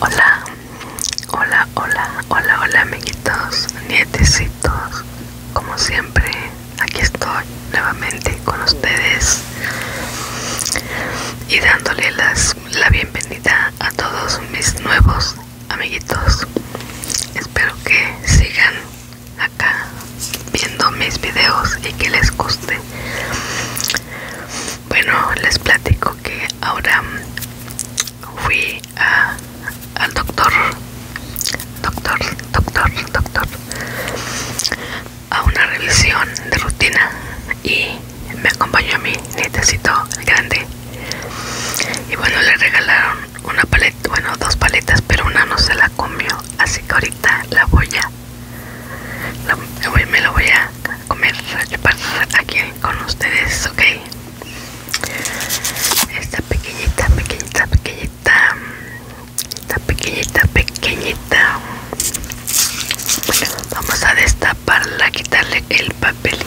Hola, hola, hola, hola, hola amiguitos, nietecitos, como siempre, aquí estoy nuevamente con ustedes y dándole la bienvenida a todos mis nuevos amiguitos. Espero que sigan acá viendo mis videos y que les guste. Bueno, les platico que ahora fui a, al doctor, doctor, doctor, doctor, a una revisión de rutina y me acompañó a mi nietecito grande. Y bueno, le regalaron una paleta, bueno, dos paletas, pero una no se la comió, así que ahorita la voy a me lo voy a comer aquí con ustedes, ok. Esta pequeñita, pequeñita, pequeñita, esta pequeñita, pequeñita. vamos a destaparla, quitarle el papelito.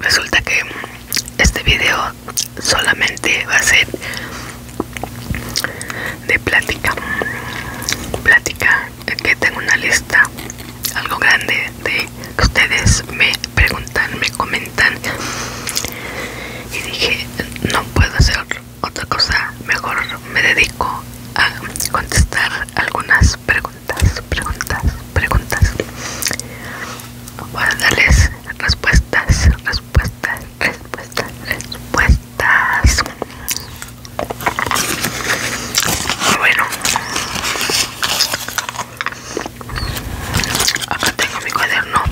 Resulta que este video solamente va a ser de plática, plática que tengo una lista algo grande de que ustedes me preguntan, me comentan y dije no puedo hacer otra cosa, mejor me dedico a contestar algunas preguntas, preguntas, preguntas a darles respuestas, respuestas, respuestas, respuestas bueno, acá tengo mi cuaderno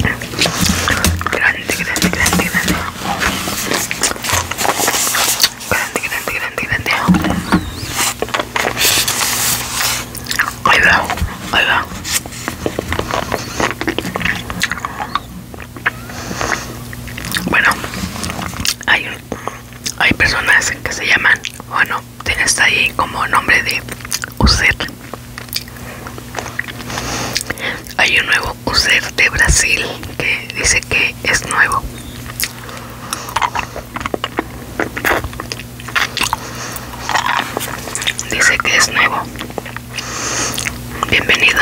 grande, grande, grande, grande, grande, grande, grande, grande. Bueno, hay, hay personas que se llaman, bueno, tienes ahí como nombre de user. Hay un nuevo user de Brasil que dice que es nuevo. Dice que es nuevo. Bienvenido.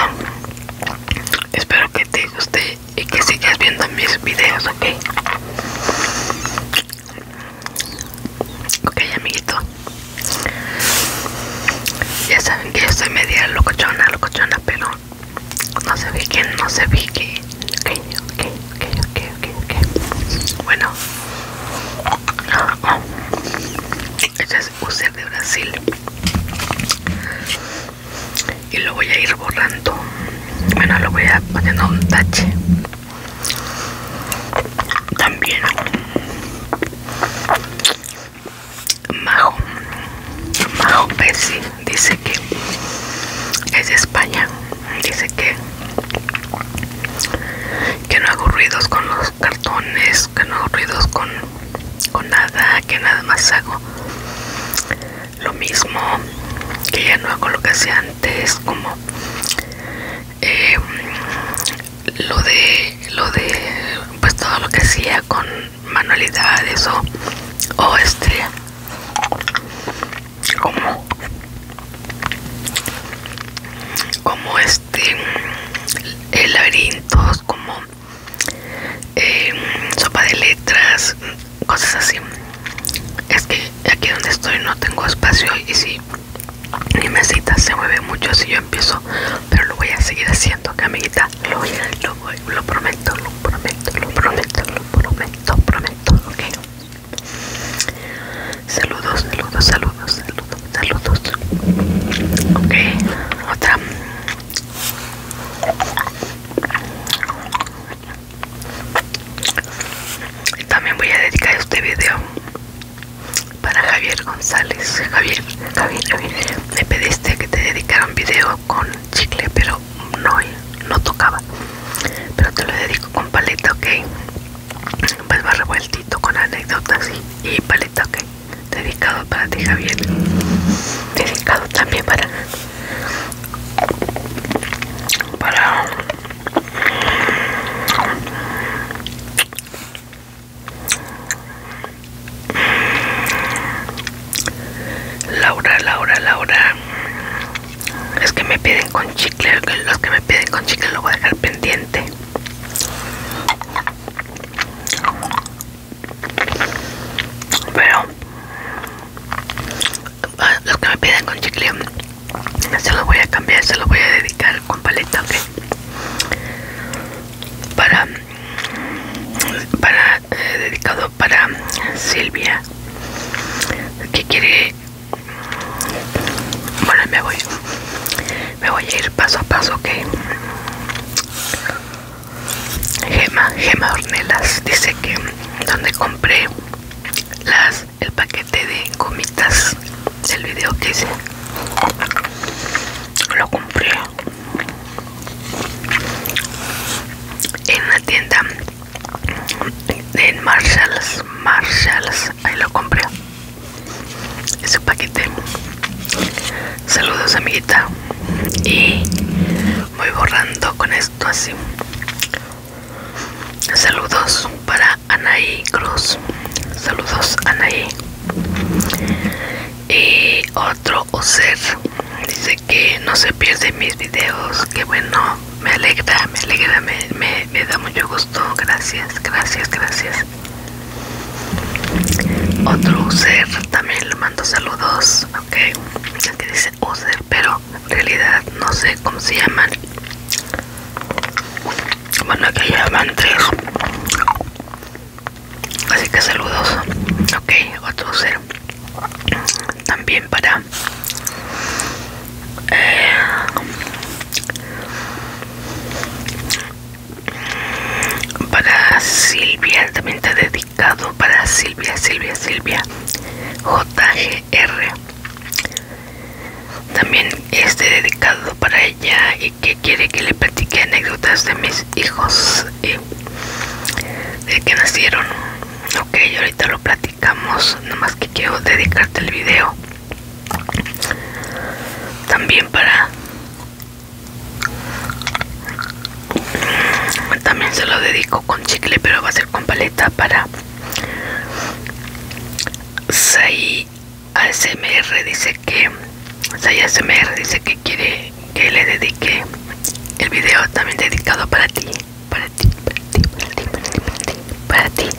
Espero que te guste y que sigas viendo mis videos, ¿ok? Ok, amiguito. Ya saben que yo soy media locochona, locochona, pero no se que no se quién. Ok, ok, ok, ok, ok, ok. Bueno. No ah, oh de Brasil y lo voy a ir borrando bueno lo voy a poner un tache también Majo Majo Pesci dice que es de España dice que que no hago ruidos con los cartones, que no ruidos con, nada, que nada más hago lo mismo, que ya no hago lo que hacía antes, como em, lo de lo de pues todo lo que hacía con manualidades o, este como como este el laberintos como Em, sopa de letras, cosas así. Es que aquí donde estoy no tengo espacio y si mi mesita se mueve mucho si yo empiezo, pero lo voy a seguir haciendo, lo, voy lo, voy, lo prometo, lo prometo, lo prometo, lo prometo, prometo, ok. Saludos, saludos, saludos, saludos saludos ok otra también voy a dedicar este video para Javier González Javier, Javier, Javier me pediste que te dedicara un video con chicle pero no, no tocaba pero te lo dedico con paleta ok pues va revueltito con anécdotas y, y paleta ok Dedicado para ti, Javier. Dedicado también para. Para. Laura, Laura, Laura. Es que me piden con chicle. Los que me piden con chicle lo voy a dejar pendiente. Pero ah, Lo que me piden con chicle se lo voy a cambiar, se lo voy a dedicar con paleta, Para, para eh, dedicado para Silvia que quiere bueno me voy me voy a ir paso a paso que Gema, Gema Ornelas dice que donde compré las el paquete de gomitas el video que hice lo compré en la tienda en Marshalls Marshalls ahí lo compré es un paquete saludos amiguita y voy borrando con esto así saludos para Anaí Cruz saludos Anaí y otro Oser dice que no se pierde mis videos que bueno me alegra me alegra me da mucho gusto gracias gracias gracias otro user también le mando saludos, ok. Aquí dice user, pero en realidad no sé cómo se llaman. Bueno, aquí llaman tres. Así que saludos, ok. Otro user también para. Eh, para Silvia, también está dedicado para Silvia, Silvia, Silvia. JGR. También este dedicado para ella y que quiere que le platique anécdotas de mis hijos y eh, de que nacieron. Ok, ahorita lo platicamos, nada más que quiero dedicarte el video también para también se lo dedico con chicle pero va a ser con paleta para 6 ASMR dice que saia ASMR dice que quiere que le dedique el video también dedicado para ti para ti para ti para ti para ti, para ti.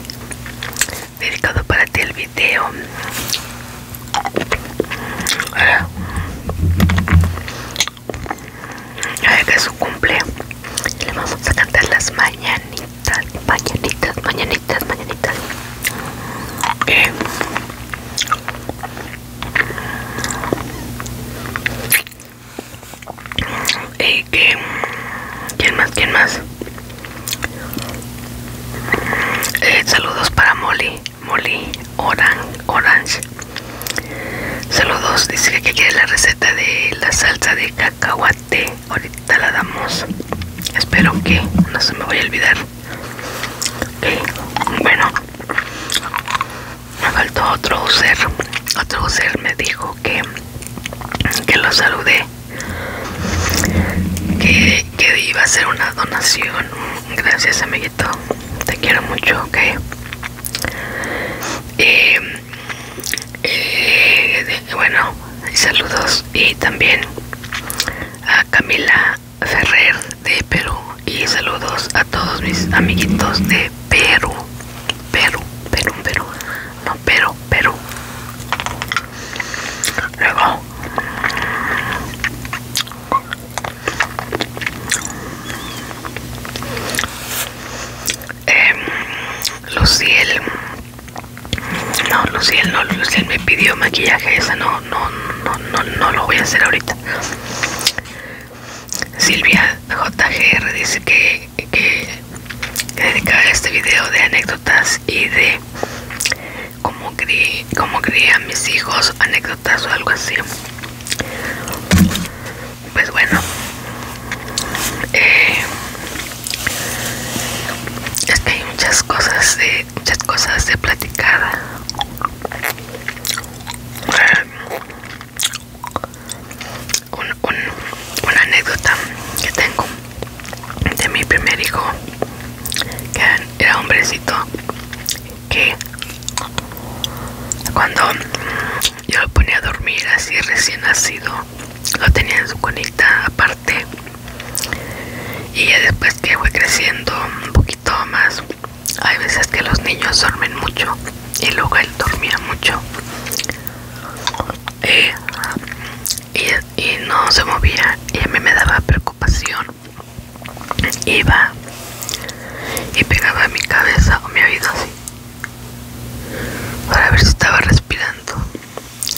Dedicado para ti el video Ay, que es su cumple. Le vamos a cantar las mañanitas, mañanitas, mañanitas, mañanitas. Y eh, eh, que, ¿Quién más? ¿Quién más? Eh, saludos para Molly, Molly Orange, Orange. Saludos, dice que quiere la receta de la salsa de cacahuate. Ahorita la damos. Espero que no se me vaya a olvidar. Bueno, me faltó otro user. Otro user me dijo que, que lo saludé que, iba a ser una donación. Gracias, amiguito. Te quiero mucho, ok. Em, eh, bueno, saludos. Y también a Camila Ferrer de Perú. Y saludos a todos mis amiguitos de Perú. Perú, Perú, Perú. No, Perú, Perú. Luego, eh, Luciel no Luciel no Luciel me pidió maquillaje esa no no no no lo voy a hacer ahorita Silvia JGR dice que, que dedica este video de anécdotas y de cómo crié, a mis hijos, anécdotas o algo así. Pues bueno, eh, es que hay muchas cosas de, muchas cosas de platicar. un, una anécdota que tengo de mi primer hijo que era hombrecito que cuando yo lo ponía a dormir así recién nacido lo tenía en su conita aparte y después que fue creciendo un poquito más hay veces que los niños duermen mucho y luego él dormía mucho eh, y, y no se movía y a mí me daba preocupación iba y pegaba mi cabeza o mi oído así para ver si estaba respirando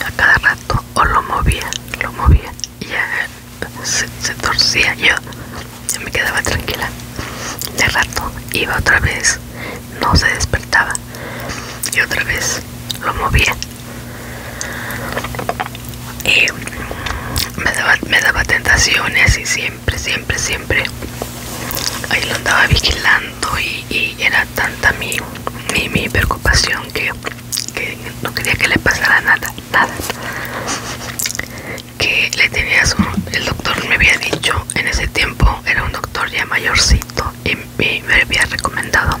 a cada rato o lo movía lo movía y eh, se, se torcía yo, yo me quedaba tranquila de rato iba otra vez no se despertaba y otra vez lo movía y me daba, me daba tentaciones y siempre, siempre, siempre ahí lo andaba vigilando y, era tanta mi, mi, mi preocupación que, que no quería que le pasara nada, nada que le tenía su, el doctor me había dicho en ese tiempo era un doctor ya mayorcito y, me había recomendado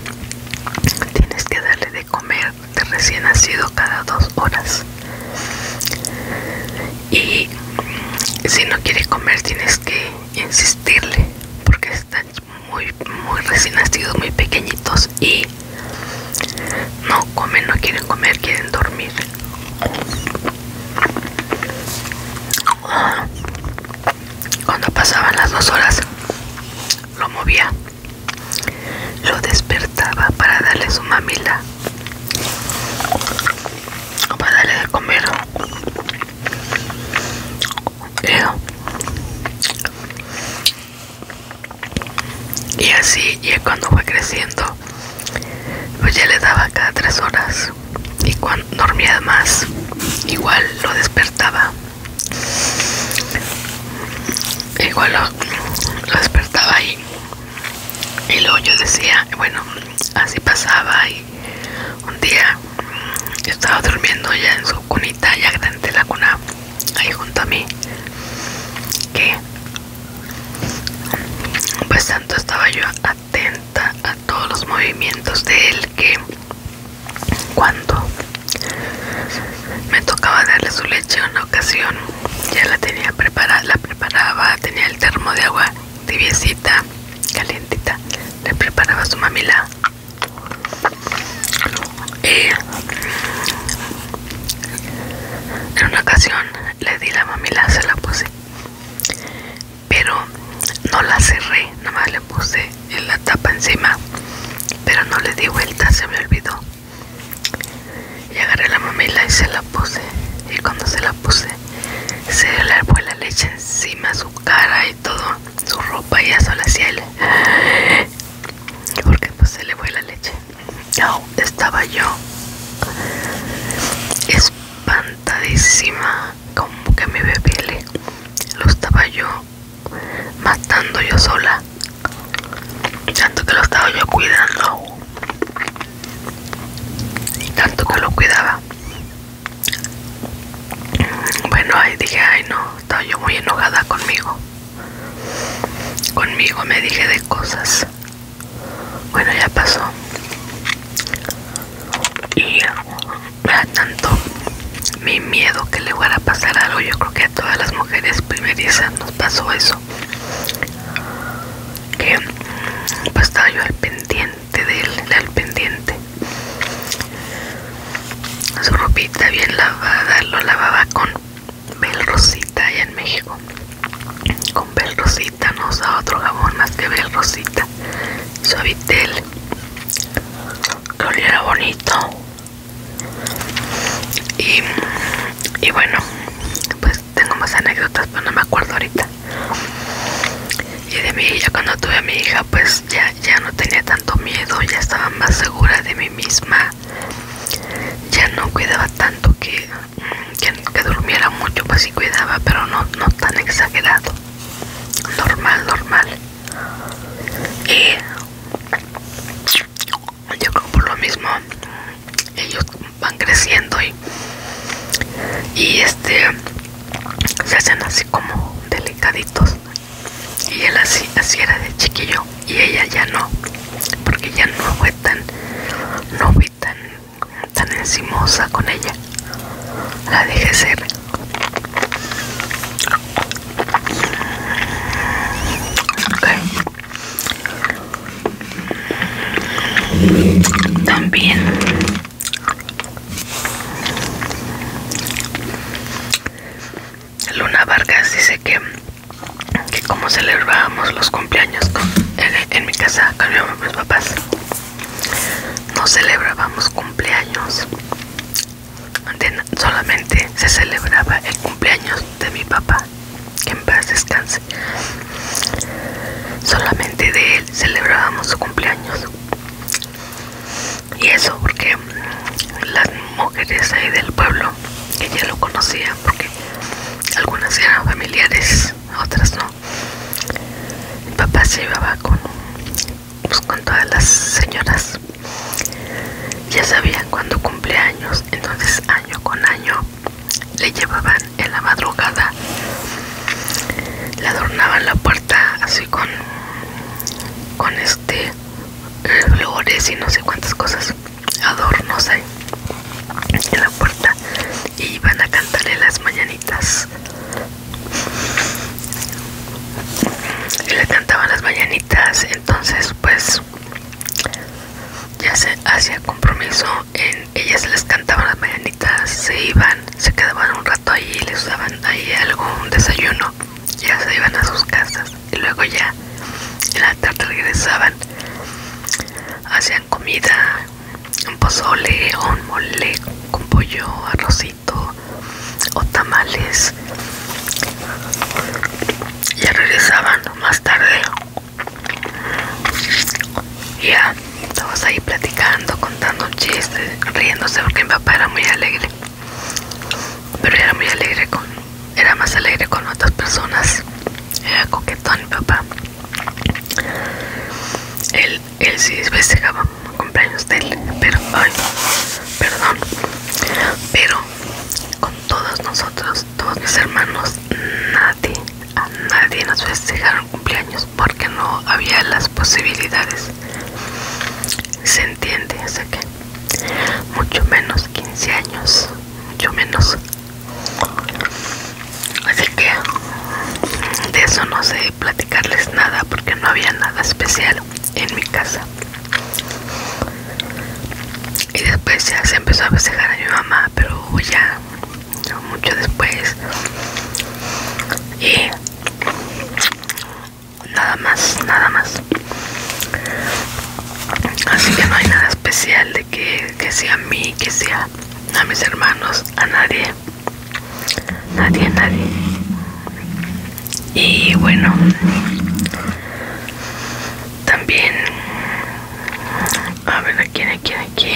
tienes que darle de comer de recién nacido cada dos horas y si no quiere comer tienes que insistirle porque están muy muy recién nacidos muy pequeñitos y no comen no quieren comer quieren dormir cuando pasaban las dos horas, lo movía. Lo despertaba para darle su mamila. Para darle de comer. Y así, y cuando fue creciendo, pues ya le daba cada tres horas. Y cuando dormía más, igual lo despertaba. Igual lo, despertaba ahí y luego yo decía, bueno, así pasaba y un día yo estaba durmiendo ya en su cunita, ya grande la cuna, ahí junto a mí, que pues tanto estaba yo atenta a todos los movimientos de él que cuando me tocaba darle su leche en una ocasión, ya la tenía preparada, la preparaba, tenía el termo de agua tibiecita, calientita, le preparaba su mamila. Y en una ocasión le di la mamila, se la puse, pero no la cerré, nada más le puse en la tapa encima pero no le di vuelta se me olvidó y agarré la mamila y se la puse y cuando se la puse se le fue la leche encima su cara y todo su ropa y eso la hacía él porque pues se le fue la leche ¡Wow! estaba yo espantadísima como que mi bebé lo estaba yo matando yo sola tanto que lo estaba yo cuidando y tanto que lo cuidaba bueno ahí dije ay no estaba yo muy enojada conmigo conmigo me dije de cosas bueno ya pasó y vea tanto mi miedo que le fuera a pasar algo yo creo que a todas las mujeres primerizas nos pasó eso que pasaba pues, yo al pendiente de él al pendiente su ropita bien lavada lo lavaba con Bel Rosita allá en México con Bel Rosita no usaba otro jabón más que Bel Rosita Suavitel que oliera bonito y, bueno pues tengo más anécdotas pero no me acuerdo ahorita y de mí hija cuando tuve a mi hija pues ya, ya no tenía tanto miedo ya estaba más segura de mí misma ya no cuidaba tanto que, que, durmiera mucho pues sí cuidaba pero no, no tan exagerado normal normal y yo creo por lo mismo ellos van creciendo y, este se hacen así como delicaditos y él así, así era de chiquillo y ella ya no porque ya no fue tan no fue tan tan encimosa con ella la dejé ser también Luna Vargas dice que que como celebrábamos los cumpleaños en, mi casa con mis papás no celebrábamos cumpleaños solamente se celebraba el cumpleaños de mi papá que en paz descanse solamente de él celebrábamos su cumpleaños y eso porque las mujeres ahí del pueblo que ya lo conocía, porque algunas eran familiares otras no mi papá se llevaba con pues, con todas las señoras ya sabían cuando cumpleaños entonces año con año le llevaban en la madrugada le adornaban la puerta así con con este eh, flores y no sé cuántas cosas adornos ahí en la puerta y iban a cantarle las mañanitas y le cantaban las mañanitas entonces pues ya se hacía compromiso en ellas les cantaban las mañanitas se iban se quedaban un rato y les daban ahí algo un desayuno ya se iban a sus casas y luego ya en la tarde regresaban hacían comida un pozole o un mole con pollo arroz o tamales ya regresaban más tarde ya estamos ahí platicando contando chistes, riéndose porque mi papá era muy alegre pero era muy alegre con era más alegre con otras personas era coquetón mi papá él él sí festejaba cumpleaños de él, pero ay, perdón, pero con todos nosotros, todos mis hermanos, nadie, a nadie nos festejaron cumpleaños porque no había las posibilidades. Se entiende, o que mucho menos 15 años, mucho menos. Así que de eso no sé platicarles nada porque no había nada especial en mi casa. Y después ya se empezó a festejar a mi mamá, pero ya mucho después. Y nada más, nada más. Así que no hay nada especial de que, que sea a mí, que sea a mis hermanos, a nadie nadie, nadie. Y bueno, también, a ver, aquí, aquí, aquí.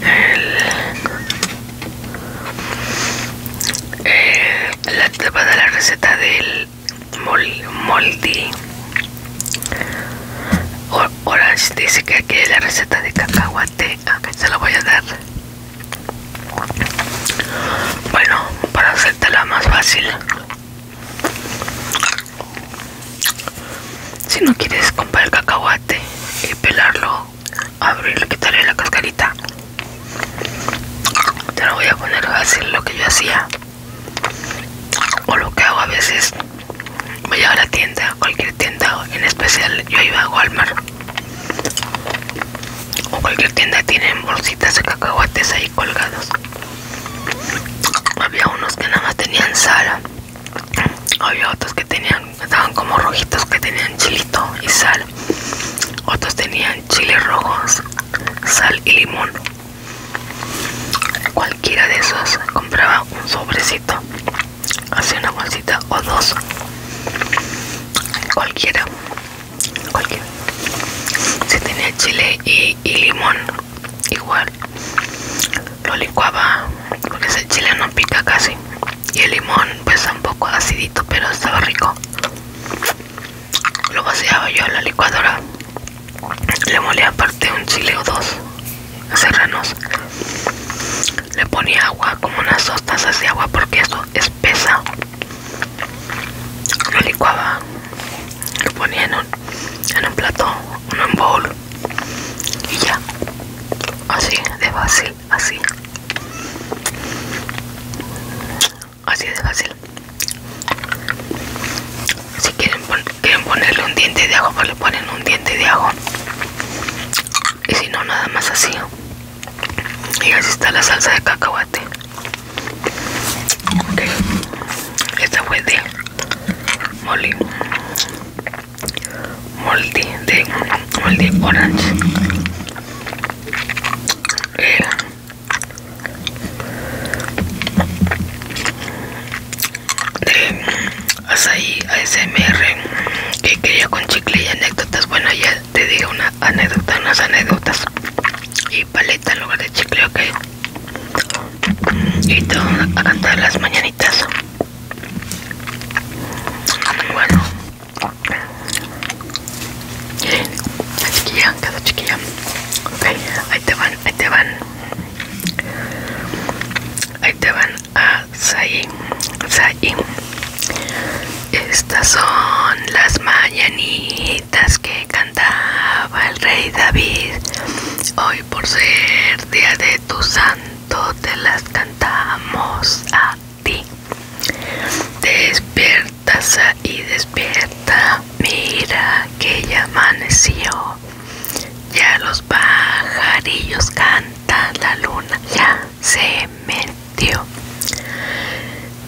El, el, la, la receta del mol, moldi ahora dice que aquí la receta de cacahuate, ah, se la voy a dar. Bueno, para hacértela más fácil. Si no quieres comprar el cacahuate y pelarlo, abrirlo, quitarle la cascarita. Te lo voy a poner fácil lo que yo hacía. O lo que hago a veces voy a la tienda, cualquier tienda en especial, yo iba a Walmart o cualquier tienda tienen bolsitas de cacahuates ahí colgados. Había unos que nada más tenían sal, había otros que tenían, estaban como rojitos que tenían chilito y sal, otros tenían chile rojos, sal y limón. Cualquiera de esos compraba un sobrecito así una bolsita o dos cualquiera cualquiera si tenía chile y, limón igual lo licuaba porque ese chile no pica casi y el limón pues un poco acidito pero estaba rico lo vaciaba yo en la licuadora le molía aparte un chile o dos serranos. Le ponía agua, como unas dos tazas de agua, porque eso espesa. Lo licuaba. Lo ponía en un, en un plato, en un bowl. Y ya. Así, de fácil, así. Así de fácil si quieren, quieren ponerle un diente de agua pues le ponen un diente de ajo y si no nada más así y así está la salsa de cacahuate ok esta fue de molly. molde de orange eh, de eh, Asaí ASMR que quería con chicle y anécdotas. Bueno, ya te digo una anécdota, unas anécdotas y paleta en lugar de chicle, ok. Y todo a cantar las mañanitas. Bueno, chiquilla, quedó chiquilla. Ok, ahí te van, ahí te van. Ahí te van a Estas son las mañanitas que cantaba el rey David. Hoy por ser día de tu santo te las cantamos a ti. Despierta y despierta. Mira que ya amaneció. Ya los pajarillos cantan, la luna ya se metió.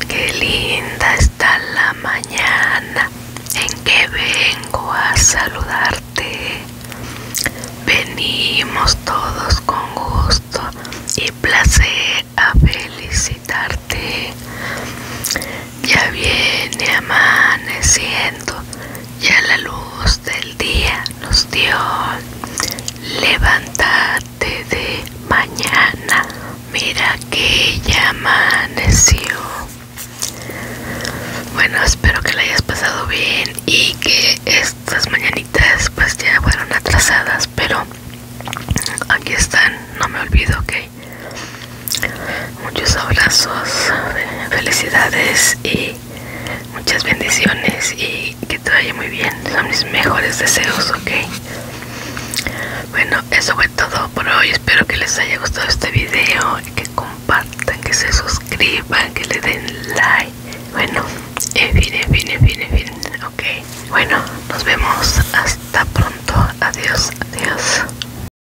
Qué linda está la mañana en que vengo a saludarte. Venimos todos con gusto y placer a felicitarte. Ya viene amaneciendo, ya la luz del día nos dio. Levántate de mañana, mira que ya amaneció. Bueno, espero que la hayas pasado bien y que estas mañanitas pues ya fueron atrasadas, pero aquí están, no me olvido que Muchos abrazos, felicidades y muchas bendiciones y que te vaya muy bien. Son mis mejores deseos, ¿ok? Bueno, eso fue todo por hoy. Espero que les haya gustado este video, que compartan, que se suscriban, que le den like. Bueno, en fin, en fin, en fin, ¿ok? Bueno, nos vemos. Hasta pronto. Adiós, adiós.